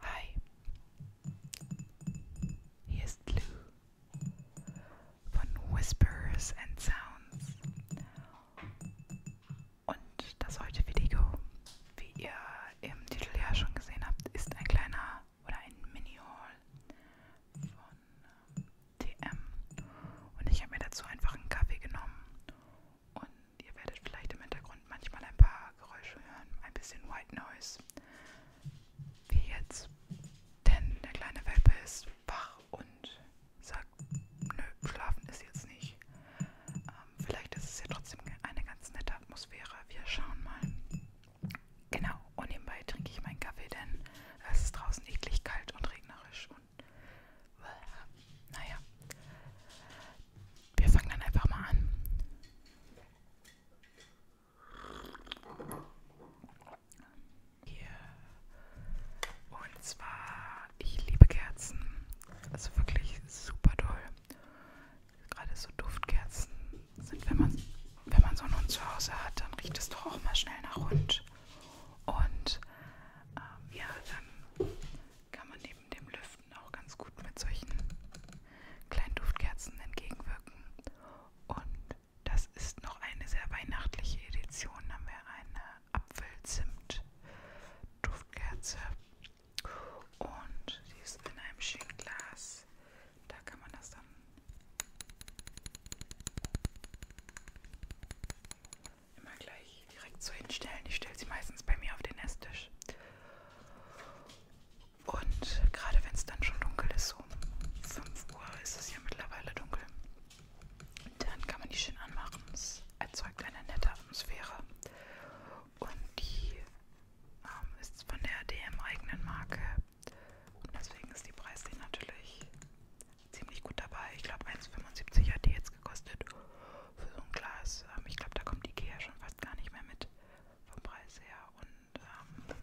Hi, hier ist Lou von Whispers and Sounds und das heutige Video, wie ihr im Titel ja schon gesehen habt, ist ein kleiner oder ein Mini-Haul von TM ähm, und ich habe mir dazu einfach einen Kaffee genommen und Ihr werdet vielleicht im Hintergrund manchmal ein paar Geräusche hören, ein bisschen White Noise. Wie jetzt. Denn der kleine Welpe ist wach und sagt, nö, schlafen ist jetzt nicht. Ähm, vielleicht ist es ja trotzdem eine ganz nette Atmosphäre. Wir schauen mal. Genau, und nebenbei trinke ich meinen Kaffee, denn es ist draußen eklig kalt und regnerisch und naja wir fangen dann einfach mal an. Hier. Und zwar, ich liebe Kerzen. Also wirklich super toll. Gerade so Duftkerzen sind, wenn man, wenn man so einen Hund zu Hause hat, dann riecht es doch auch mal schnell nach Hund. Und ähm, ja, dann kann man neben dem Lüften auch ganz gut mit solchen kleinen Duftkerzen entgegenwirken. Und das ist noch eine sehr weihnachtliche Edition. Da haben wir eine Apfelzimt-Duftkerze. Und sie ist in einem schönen Glas. Da kann man das dann immer gleich nicht direkt so hinstellen. Ich stelle sie meistens bei mir auf den Esstisch. Und gerade wenn es dann schon dunkel ist, um 5 Uhr ist es ja mittlerweile dunkel, dann kann man die schön anmachen. Es erzeugt eine nette Atmosphäre. Und die ähm, ist von der DM-eigenen Marke. Und deswegen ist die Preisding natürlich ziemlich gut dabei. Ich glaube 1,75 hat die jetzt gekostet für so ein Glas. Ähm, ich glaube, da kommt Ikea schon fast gar nicht mehr mit vom Preis her. Und ähm,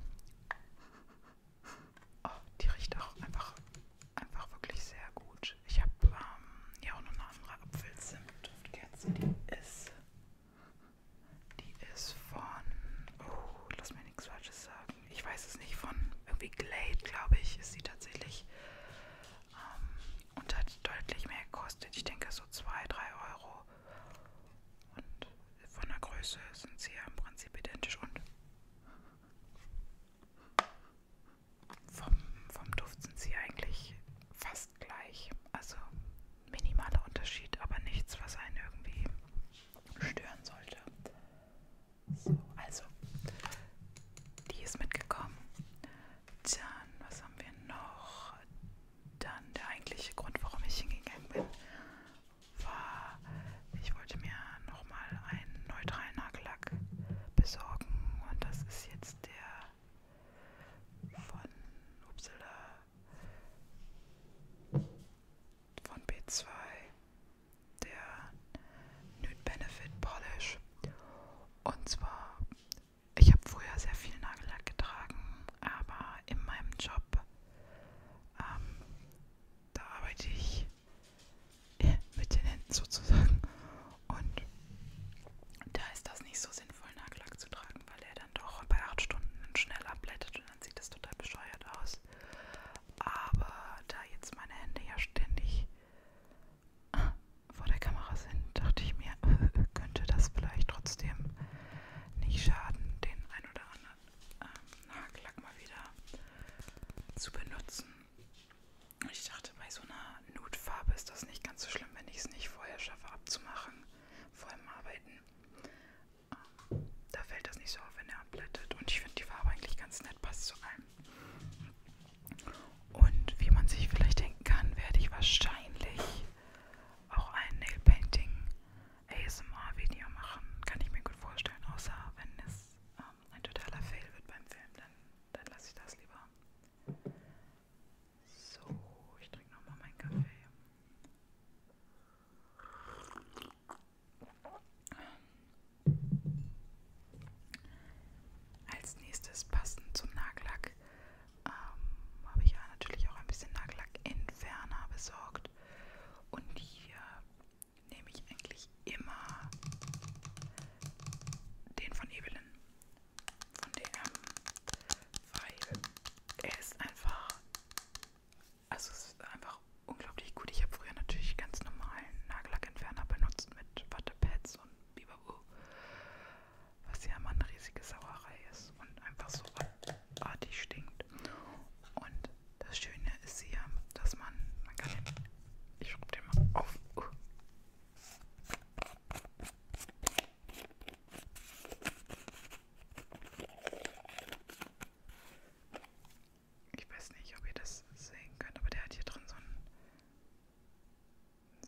oh, die riecht auch einfach, einfach wirklich sehr gut. Ich habe ähm, ja auch noch eine andere Apfelzimt-Duftkerze, die ist, die ist von, oh, lass mir nichts Falsches sagen. Ich weiß es nicht, von irgendwie Glade, glaube ich, ist sie tatsächlich ähm, und hat deutlich mehr gekostet. Ich denke so 2, 3 Euro. Und von der Größe sind sie ja im Prinzip identisch und vom, vom Duft sind sie eigentlich fast gleich. Also minimaler Unterschied, aber nichts, was einen irgendwie stören sollte. So, also, die ist mitgekommen. Dann, was haben wir noch? Dann der eigentliche Grund, warum ich hingegangen bin, war, ich wollte mir nochmal einen neutralen Nagellack besorgen und das ist jetzt der von Upsala von B2 der Nude Benefit Polish und zwar, ich habe früher sehr viel Nagellack getragen, aber in meinem Job, ähm, da arbeite ich äh, mit den Händen sozusagen. Und da ist das nicht so sinnvoll, Nagellack zu tragen, weil er dann doch bei 8 Stunden schnell abblättet und dann sieht das total bescheuert aus. Aber da jetzt meine Hände ja ständig vor der Kamera sind, dachte ich mir, könnte das vielleicht trotzdem nicht schaden, den ein oder anderen ähm, Nagellack mal wieder zu benutzen. Ich dachte, bei so einer Nutfarbe ist das nicht ganz so schlimm, wenn ich es nicht vorher schaffe abzumachen, vor dem Arbeiten. Ähm, da fällt das nicht so auf, wenn er abblättet. Und ich finde die Farbe eigentlich ganz nett, passt zu allem. Und wie man sich vielleicht denken kann, werde ich wahrscheinlich auch ein Nail Painting ASMR Video machen. Kann ich mir gut vorstellen, außer wenn es ähm, ein totaler Fail wird beim Film, dann, dann lasse ich das lieber. So, ich trinke nochmal meinen Kaffee. Als nächstes passend zum Nagellack ähm, habe ich ja natürlich auch ein bisschen Nagellackentferner besorgt. Und hier nehme ich eigentlich immer den von Evelyn von DM, weil er ist einfach, also es ist einfach einfach unglaublich gut. Ich habe früher natürlich ganz normalen Nagellackentferner benutzt mit Wattepads und Biberu, was ja immer eine riesige Sauerei ist und einfach so artig stinkt. Und das Schöne ist hier, dass man, man kann den, ich schrub den mal auf. Uh ich weiß nicht, ob ihr das sehen könnt, aber der hat hier drin so ein,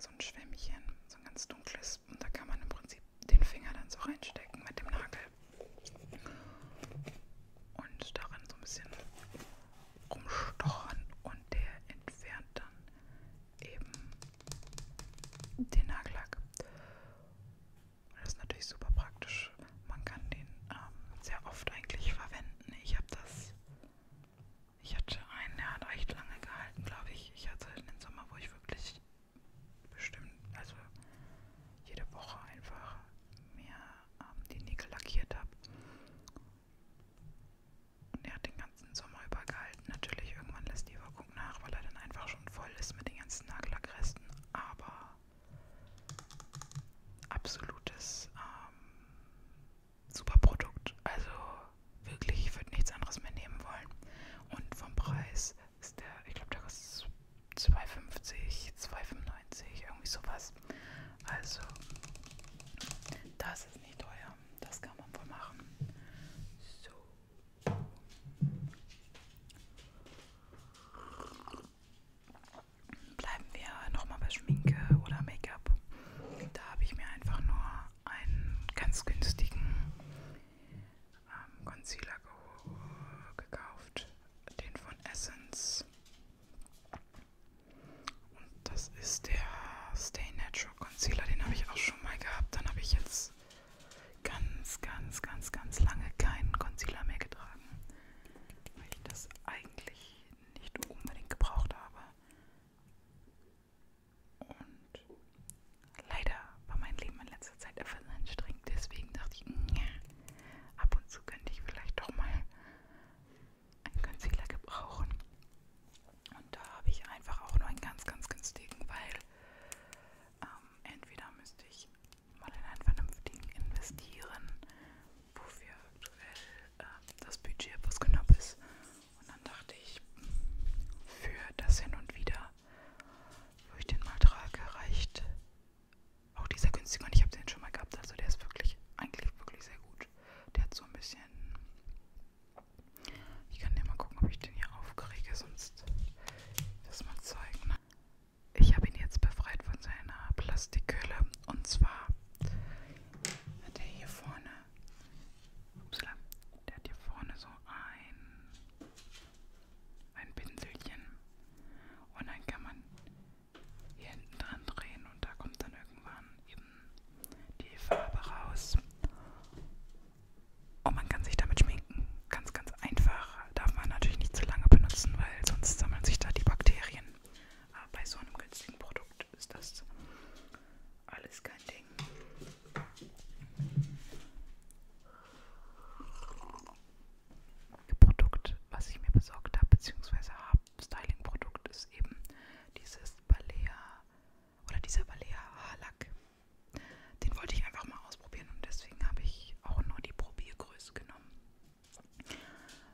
so ein Schwämmchen, so ein ganz dunkles. Und da kann man im Prinzip den Finger dann so reinstecken mit dem Nagel. Und darin so ein bisschen rumstochern und der entfernt dann eben den Nagellack. Und das ist natürlich super praktisch und man kann den ähm, sehr oft eigentlich verwenden. Ich habe das, ich hatte einen, der hat recht lange gehalten, glaube ich. Ich hatte einen Sommer, wo ich wirklich bestimmt, also jede Woche einfach mir ähm, die Nägel lackiert habe. Und er hat den ganzen Sommer über gehalten. Natürlich, irgendwann lässt die Wirkung nach, weil er dann einfach schon voll ist mit den ganzen Nagellackresten. Aber absolutes ähm, Superprodukt. Also wirklich, ich würde nichts anderes mehr nehmen wollen. Und vom Preis ist der, ich glaube, der kostet 2,50, 2,95, irgendwie sowas. Also, das ist nicht teuer. Das kann man wohl machen. So bleiben wir nochmal bei Schminke oder Make-up. Da habe ich mir einfach nur einen ganz günstigen ähm, Concealer ge gekauft, den von Essence. Und das ist der Stay Natural Concealer, den habe ich auch schon mal gehabt. Dann habe ich jetzt ganz, ganz, ganz, ganz lange keinen Concealer mehr getragen weil ich das eigentlich nicht unbedingt gebraucht habe. Und leider war mein Leben in letzter Zeit etwas anstrengend, deswegen dachte ich, mh, ab und zu könnte ich vielleicht doch mal einen Concealer gebrauchen. Und da habe ich einfach auch nur einen ganz, ganz günstigen, weil ähm, entweder müsste ich mal in einen vernünftigen investieren, wofür aktuell äh, das Budget etwas knapp ist. Und dann dachte ich, für das hin und wieder, wo ich den mal trage, reicht auch dieser günstige. Und ich habe den schon mal gehabt, also der ist wirklich, eigentlich wirklich sehr gut. Der hat so ein bisschen. Ich kann dir mal gucken, ob ich den hier aufkriege, sonst das mal zeigen ich habe ihn jetzt befreit von seiner Plastikhülle. Und zwar hat er hier vorne, upsala, der hat hier vorne so ein, ein Pinselchen. Und dann kann man hier hinten dran drehen und da kommt dann irgendwann eben die Farbe raus. Und man kann sich damit schminken ganz, ganz einfach. Darf man natürlich nicht zu lange benutzen, weil sonst sammeln sich da die Bakterien. Aber bei so einem günstigen Produkt ist das alles kein Ding. Das Produkt, was ich mir besorgt habe, beziehungsweise habe, Styling-Produkt, ist eben dieses Balea oder dieser Balea Haarlack. Den wollte ich einfach mal ausprobieren und deswegen habe ich auch nur die Probiergröße genommen.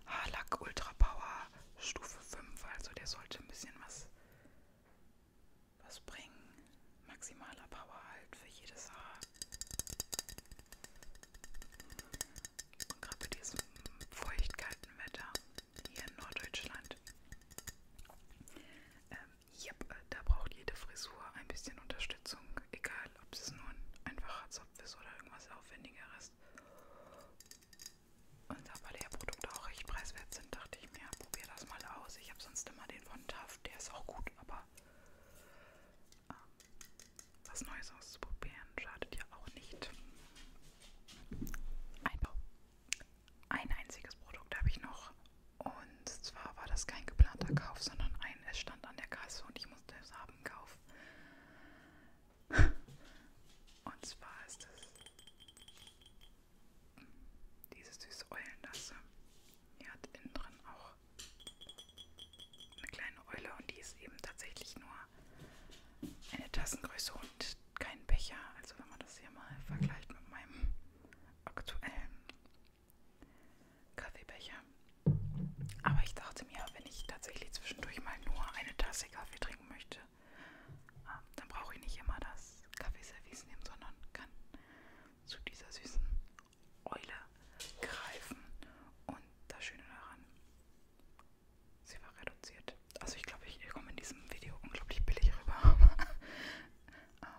Haarlack Ultra Power Stufe 5, also der sollte ein bisschen was, was bringen. Maximaler Power halt für jedes Haar. Und gerade bei diesem feucht kalten Wetter hier in Norddeutschland ähm, Yep, da braucht jede Frisur ein bisschen Unterstützung, egal ob es nur ein einfacher Zopf ist oder irgendwas Aufwendigeres. Und da weil ja Produkte auch recht preiswert sind, dachte ich mir, probier das mal aus. Ich habe sonst immer den von Taft, der ist auch gut, aber äh, was Neues auszuprobieren schadet ja auch nicht. Einbau. Ein einziges Produkt habe ich noch und zwar war das kein geplanter Kauf, sondern ein, es stand an der Kasse und ich musste es haben kaufen. und zwar ist es diese süße Eulenlasse. Die hat innen drin auch eine kleine Eule und die ist eben tatsächlich nur eine Tassengröße und kein Becher. Also wenn man das hier mal vergleicht mit meinem aktuellen Kaffeebecher. Aber ich dachte mir, wenn ich tatsächlich zwischendurch mal nur eine Tasse Kaffee trinken möchte, ähm, dann brauche ich nicht immer das Kaffeeservice nehmen, sondern kann zu dieser süßen Eule greifen. Und das Schöne daran, sie war reduziert. Also ich glaube, ich komme in diesem Video unglaublich billig rüber. ähm,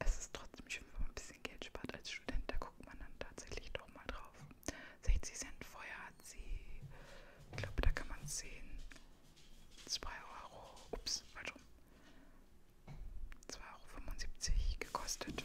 es ist trotzdem schön, wenn man ein bisschen Geld spart als Student. Da guckt man dann tatsächlich doch mal drauf. 60 Cent vorher hat sie, ich glaube, da kann man sehen, 2 Euro, ups, falsch rum, 2,75 Euro gekostet.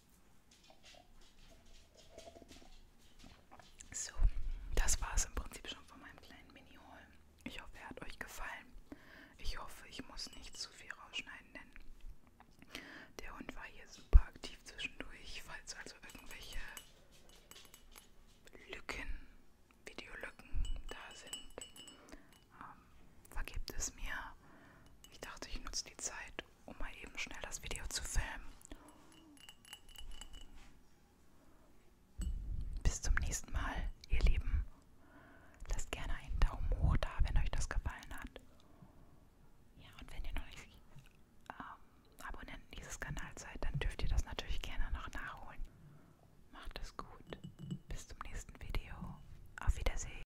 So, das war es im Prinzip schon von meinem kleinen Mini-Haul. Ich hoffe, er hat euch gefallen. Ich hoffe, ich muss nicht zu viel rausschneiden, denn der Hund war hier super aktiv zwischendurch. Falls also irgendwelche Lücken, Videolücken da sind, ähm, vergebt es mir. Ich dachte, ich nutze die Zeit Moment, um mal eben schnell das Video zu filmen. Bis zum nächsten Mal, ihr Lieben. Lasst gerne einen Daumen hoch da, wenn euch das gefallen hat. Ja, und wenn ihr noch nicht ähm, Abonnenten dieses Kanals seid, dann dürft ihr das natürlich gerne noch nachholen. Macht es gut. Bis zum nächsten Video. Auf Wiedersehen.